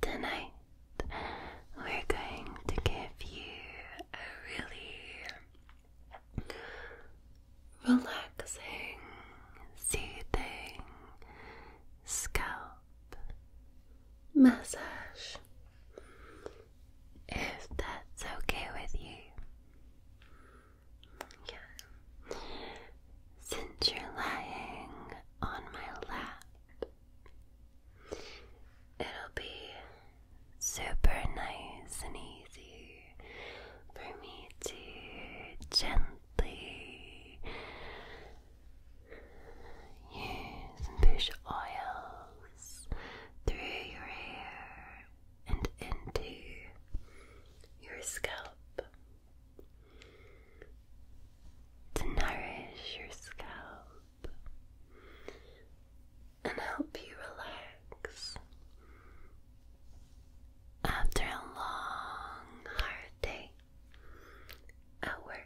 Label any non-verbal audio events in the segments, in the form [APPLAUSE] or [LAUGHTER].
Tonight we're going to give you a really relaxing, soothing, scalp massage if that's okay with you. Yeah. Since you're lying on my lap, it'll be super nice and easy for me to gently Use some push oils through your hair and into your scalp to nourish your scalp and help you relax after a long, hard day. At work.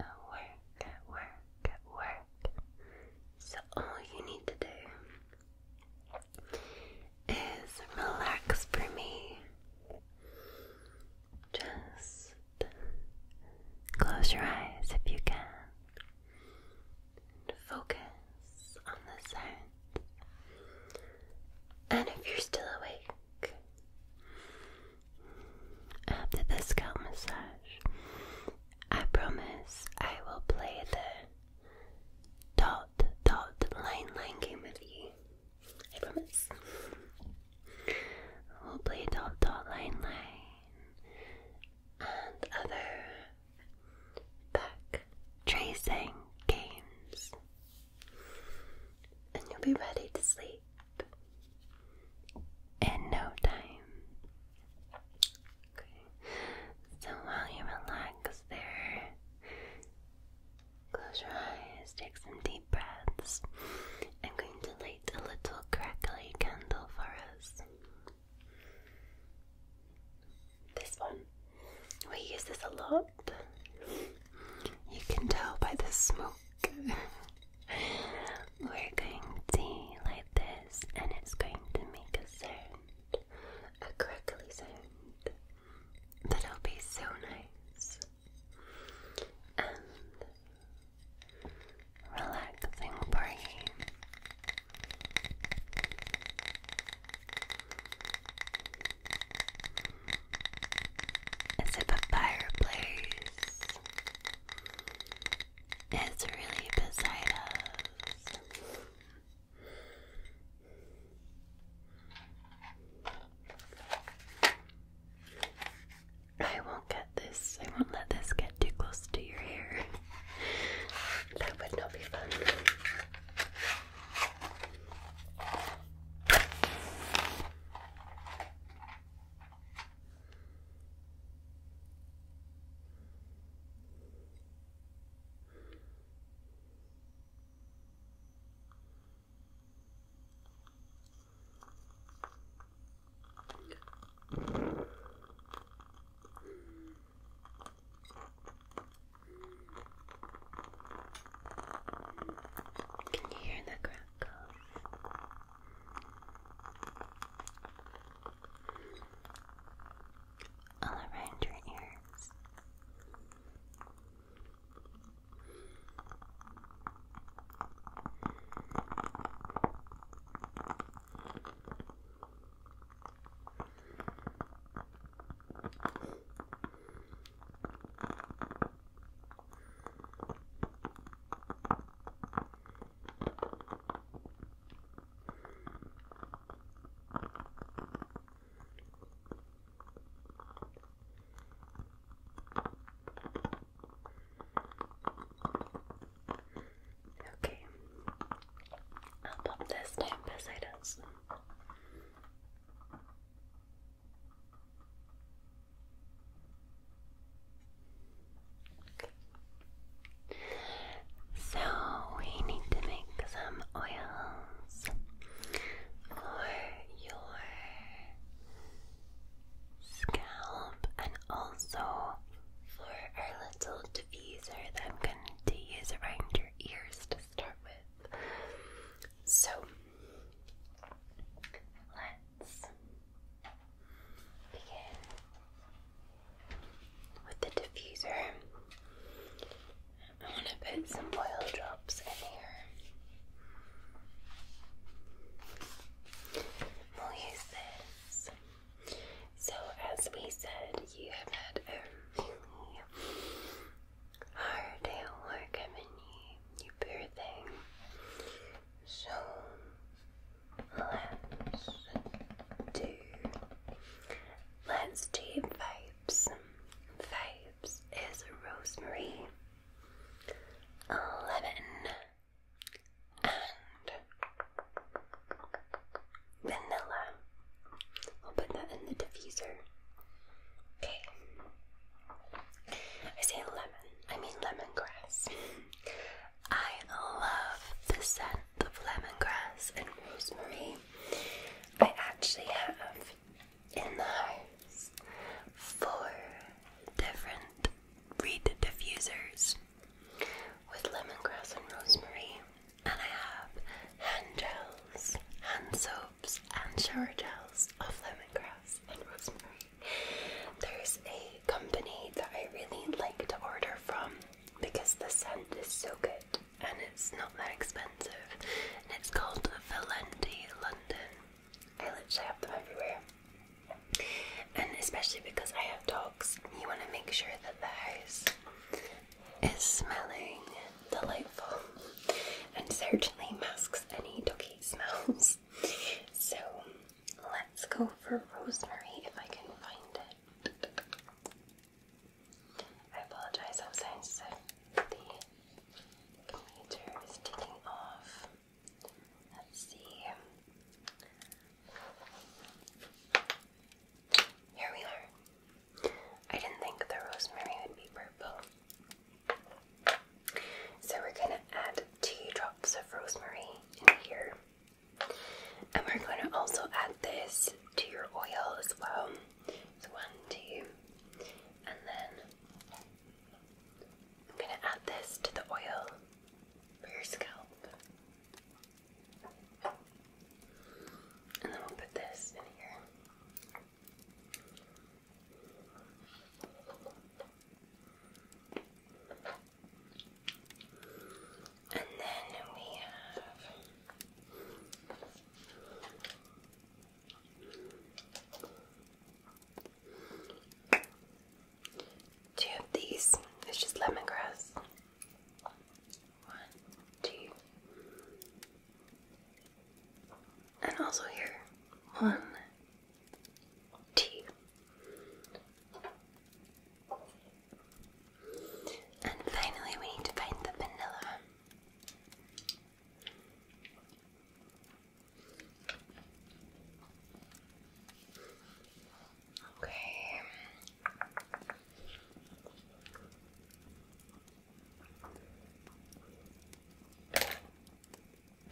At work, at work, at work. So, all you need to do is relax for me. Just close your eyes if you can. And focus on the sounds. And if you're still awake, back. After the scalp massage, I promise I will play the dot dot line line game with you. I promise. We'll play dot dot line line and other back tracing games and you'll be ready to sleep in no time. so while you relax there, close your eyes, take some deep breaths. I'm going to light a little crackly candle for us. This one. We use this a lot you can tell by the smoke. We're going to like this, and it's going to make a sound a crackly sound that'll be so nice and relaxing for is it a fireplace? It's really beside us. I won't get this. I won't let this get too close to your hair. [LAUGHS] that would not be fun. Can you hear the ground? all around your ears. Okay, I'll pop this down beside us. So we need to make some oils for your scalp and also for our little diffuser that I'm going to use around your ears to start with. So Let's begin with the diffuser. I want to put some oil drops in here. We'll use this. So, as we said, you have had a really hard at work. I you, you poor So let's do let's do vibes. Vibes is rosemary, lemon, and vanilla. I'll put that in the diffuser. Okay. I say lemon, I mean lemongrass. I love the scent of lemongrass and rosemary. I actually have in the house four different reed diffusers with lemongrass and rosemary, and I have hand gels, hand soap and shower gels of lemongrass and rosemary. There's a company that I really like to order from because the scent is so good and it's not that expensive. And it's called Valenti London. I literally have them everywhere. And especially because I have dogs, you want to make sure that the house is smelling delightful and certainly masks any dog [LAUGHS] smells. So let's go for rosemary if I can find it. I apologize, sometimes the computer is ticking off. Let's see. Here we are. I didn't think the rosemary would be purple. So we're going to add two drops of rosemary in here. And we're going to also add this to your oil as well. So one, two, and then I'm going to add this to the oil for your scalp. And then we'll put this in here. And then we have two of these. It's just lemongrass. One, two. And also here. One, T. And finally, we need to find the vanilla. Okay.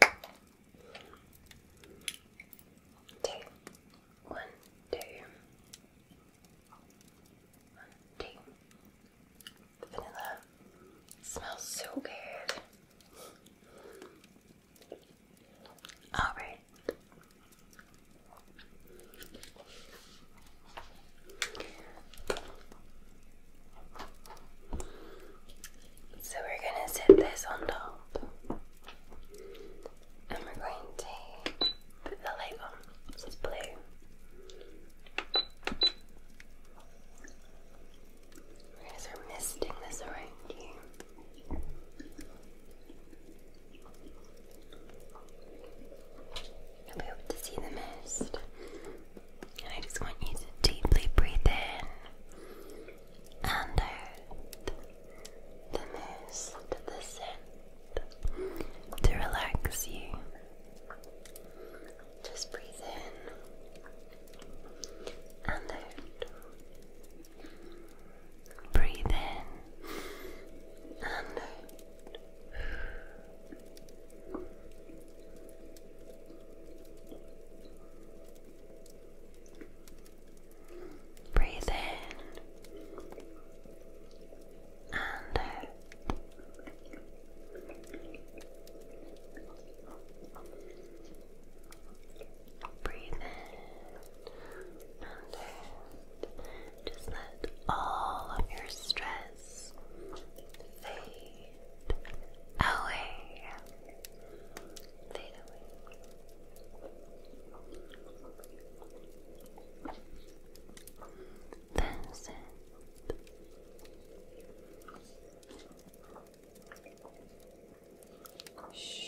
Two. vanilla smells so good. Alright. So we're going to set this on top and we're going to put the light on. it's blue. We're going to start misting this around you. You'll be able to see the mist I just want you to deeply breathe in and out the most the scent to relax you. Just breathe in and out. Breathe in and out. Breathe in and out. Breathe in and out. Just let all of your stress fade away, fade away. That's Shh.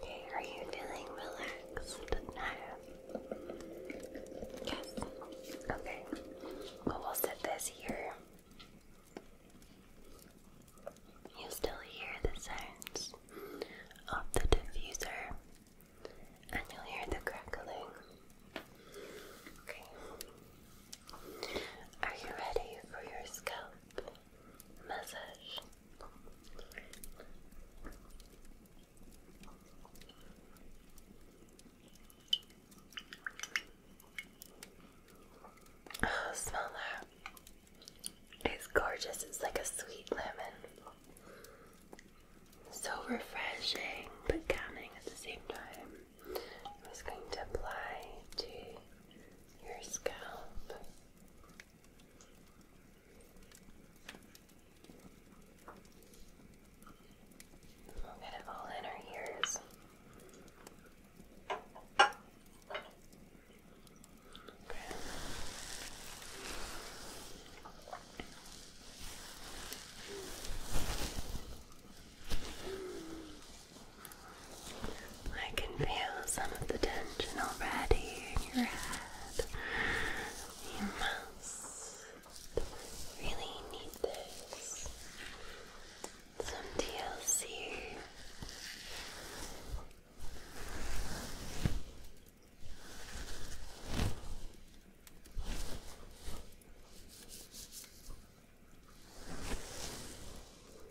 Okay, are you feeling relaxed now? Yes. Okay. Well, we'll set this here. You still hear the sounds of the diffuser, and you'll hear the crackling. Okay. Are you ready for your scalp massage? Oh, smell that. It's gorgeous. It's like a sweet lemon. So refreshing but calming at the same time. I'm just going to apply to your scalp. We'll get it all in our ears. I can feel some of the tension already in your head. You must really need this. Some TLC.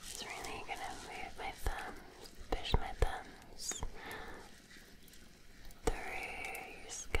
It's really gonna move my thumbs, push my thumbs through your scalp.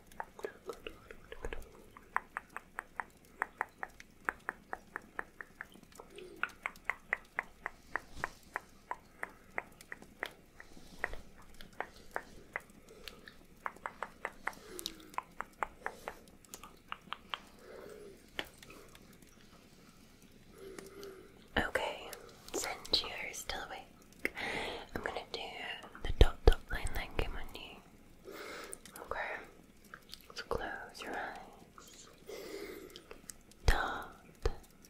Okay, since you're still awake, I'm gonna do the dot dot line that on you. Okay, close your eyes. Dot,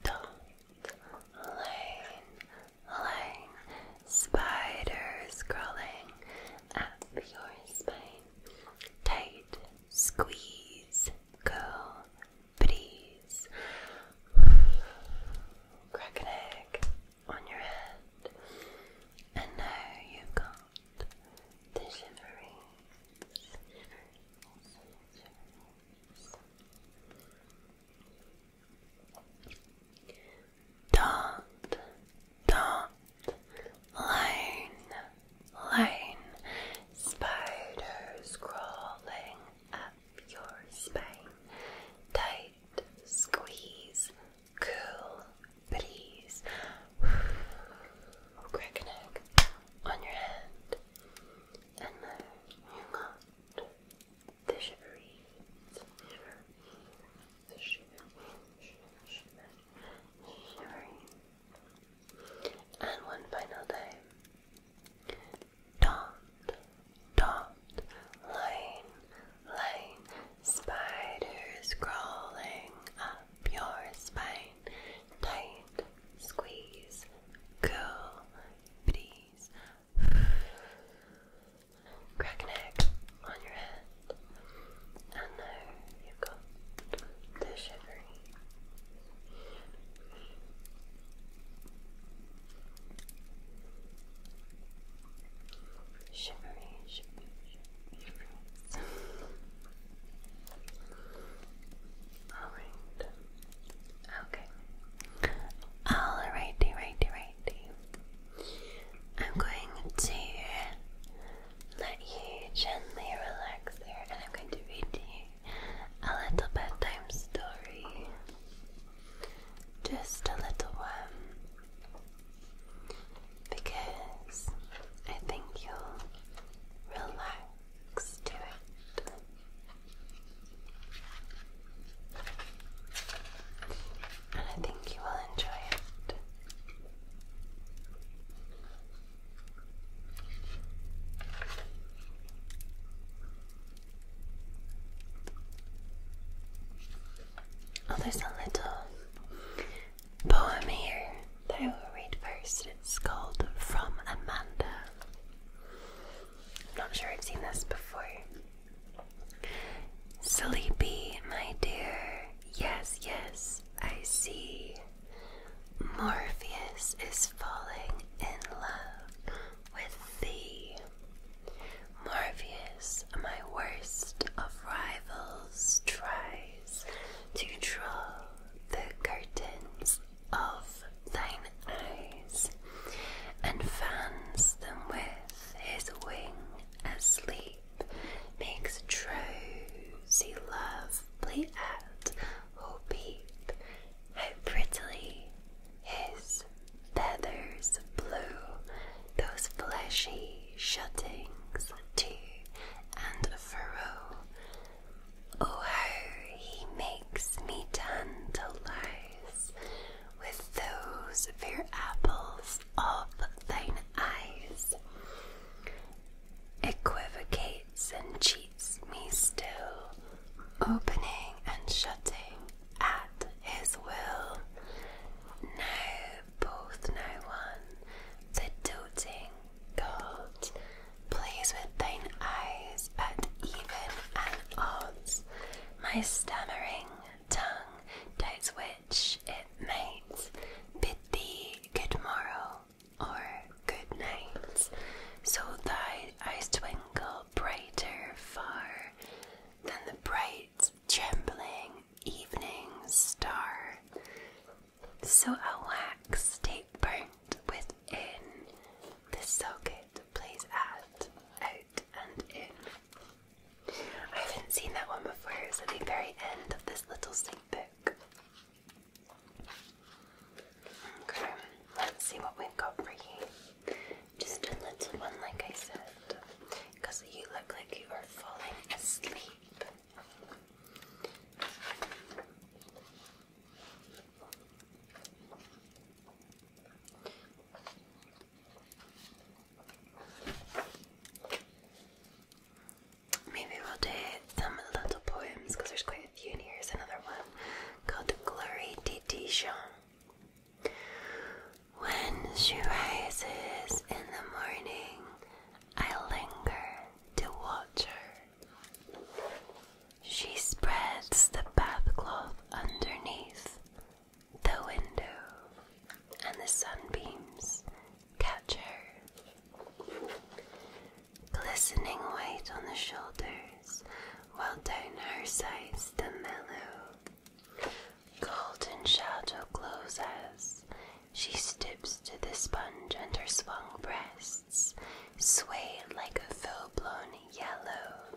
dot, lane, lane, spiders crawling up your spine. Tight, squeeze, go, please. Crack an egg on your head, and now you've got the shivering, Dot, dot, line, line, spiders crawling up your spine, tight squeeze, cool breeze. [SIGHS] Crack an on your hand. And now you got the shivery, the shivery, the shivery, shiver, shiver, And one final time. Dot, dot, around. Line, spiders crawling up your spine. Tight, squeeze, cool, breeze. Crack an on your head. And now you've got the shivering. Shivery, shivery, shivery. Alright. Okay. Alrighty, righty, righty. I'm going to let you gently relax there and I'm going to read to you a little bedtime story. Just a little one because I think you'll relax to it. And I think you will enjoy it. Oh, there's a little poem here that I will read first. It's called From Amanda. I'm not sure I've seen this before. Sleepy, my dear. Yes, yes, I see. Morpheus is falling in love with thee. Marvius, my worst of rivals, tries to draw the curtains of thine eyes and fans them with his wing as sleep makes drowsy love bleat out. Oh, how prettily his feathers blue, those fleshy shuttings too, and furrow. Oh, how he makes me tantalize with those fair apples of thine eyes. Equivocates and cheats me still, opening and shutting at his will. Now both now one, the doting god, plays with thine eyes But even and odds. My stammering tongue doubts which it makes, bid thee good morrow or good night. So thy eyes twinkle brighter far than the bright trembling evening star. So a wax tape burnt within the socket plays at, out, and in. I haven't seen that one before, it's at the very end of this little sync book. Okay, let's see what we've got for you. Just a little one, like I said, because you look like you are falling asleep. Maybe we'll do some little poems because there's quite a few Here's another one called Glory de Dijon. When she rises in the morning, I linger to watch her. She spreads the bathcloth underneath the window, and the sunbeams catch her. Glistening white on the shoulders, while down her sides the mellow Golden shadow glows as she steps to the sponge and her swung breasts sway like a full blown yellow.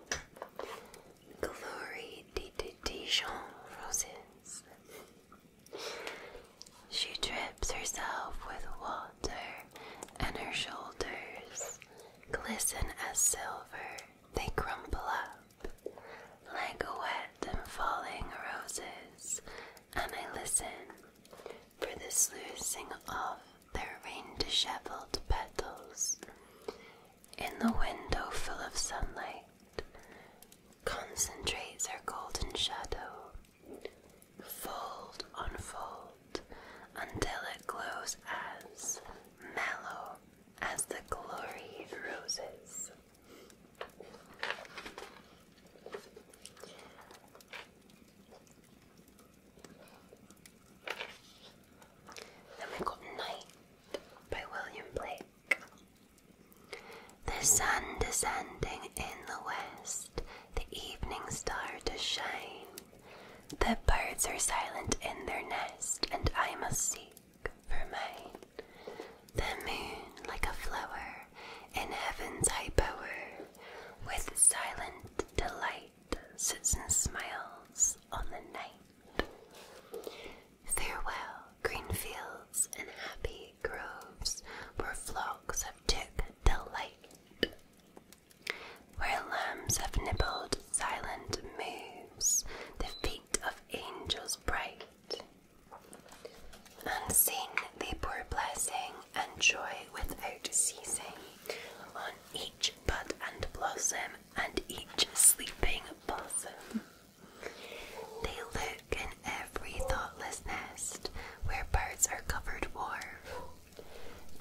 Glory de, Dijon roses. She drips herself with water, and her shoulders glisten as silver they crumple up like wet and falling roses, and I listen for the sluicing of their rain disheveled petals in the window full of sunlight. Concentrates her golden shadow, fold unfold until it glows as mellow as the glory roses. Then we got Night by William Blake. The sun descending in the west, the evening star to shine. The birds are silent in their nest, and I must seek for mine. The moon, like a flower in heaven's high bower, with silent delight sits and smiles on the night. Farewell, green fields and happy groves, where flocks have took delight, where lambs have nibbled silent moves, the feet of angels bright, and sing they pour blessing and joy without ceasing on each bud and blossom and each sleeping bosom. They look in every thoughtless nest where birds are covered warm.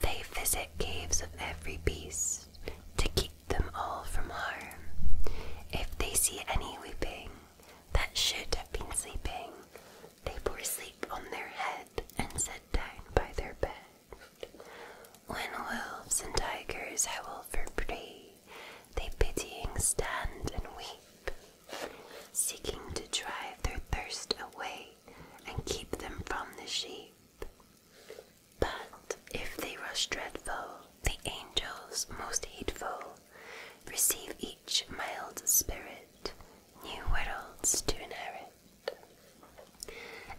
They visit caves of every beast keep them all from harm. If they see any weeping that should have been sleeping, they pour sleep on their head and sit down by their bed. When wolves and tigers howl for prey, they pitying stand and weep, seeking to drive their thirst away and keep them from the sheep. But if they rush dreadful, the angels most hateful, receive each mild spirit, new worlds to inherit.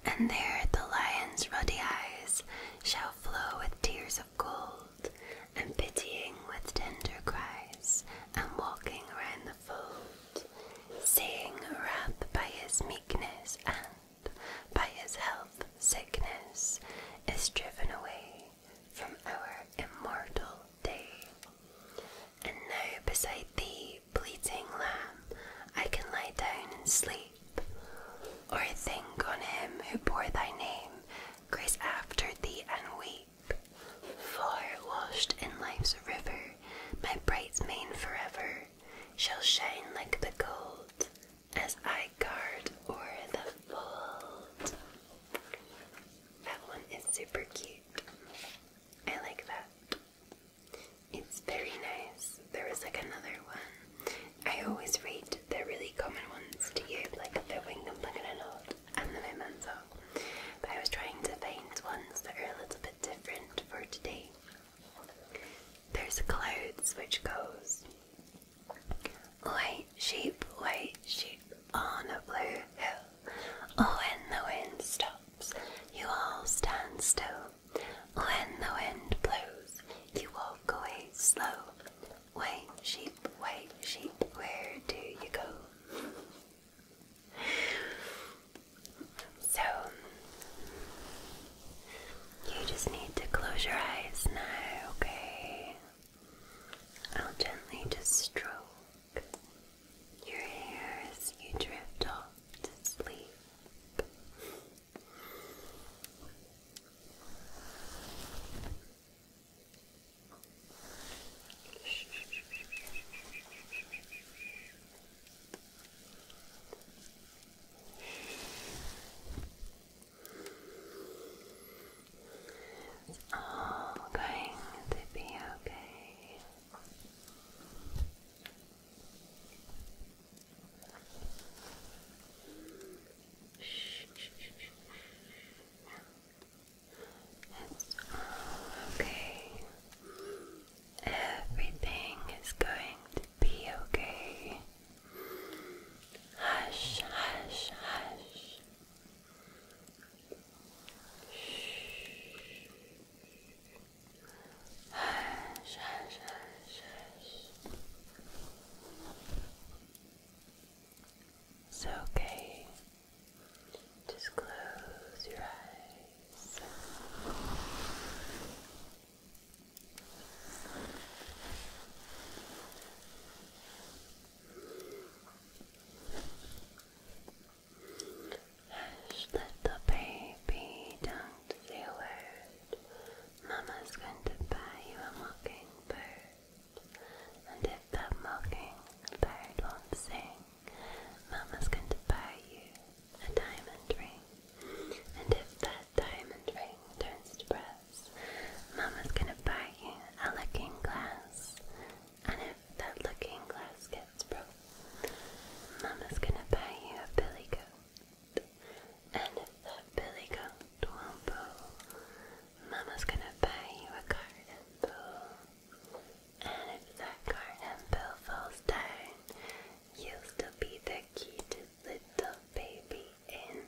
And there the lion's ruddy eyes shall flow with tears of gold, and pitying with tender cries, and walking round the fold, seeing wrath by his meekness and by his health, sickness is driven away from our immortal day. And now beside the bleating lamb, I can lie down and sleep, or think on him who bore thy name, grace after thee and weep. For washed in life's river, my bright mane forever shall shine like the gold as I guard or the fold. That one is super cute. I like that. It's very nice. There was like another one. I always read the really common ones to you, like the and Wingham Plagananot and the Mimanzo. But I was trying to find ones that are a little bit different for today. There's a clouds which goes White sheep, white sheep on a blue hill. Oh, when the wind stops, you all stand still. Oh, when the wind blows, you walk away slow. White sheep, white sheep, where do you go? So, you just need to close your eyes now, okay? I'll gently just stroke your hair you drift off to sleep. It's all going to be okay. Shh, It's all okay. Everything is going to be okay. Hush, hush, hush. Shh. Hush, hush, hush, hush. It's okay. Just close your eyes. Hush, let the baby don't say a word. Mama's going to buy you a mockingbird. And if that mockingbird won't sing, Mama's going to buy you a diamond ring. And if that diamond ring turns to brass, Mama's gonna buy you a looking glass. And if that looking glass gets broke, Mama's gonna buy you a billy goat. And if that billy goat won't pull, Mama's gonna buy you a garden pool. And if that garden pool falls down, you'll still be the cutest little baby in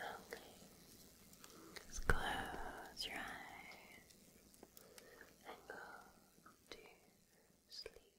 Okay. Just close your eyes and go to sleep.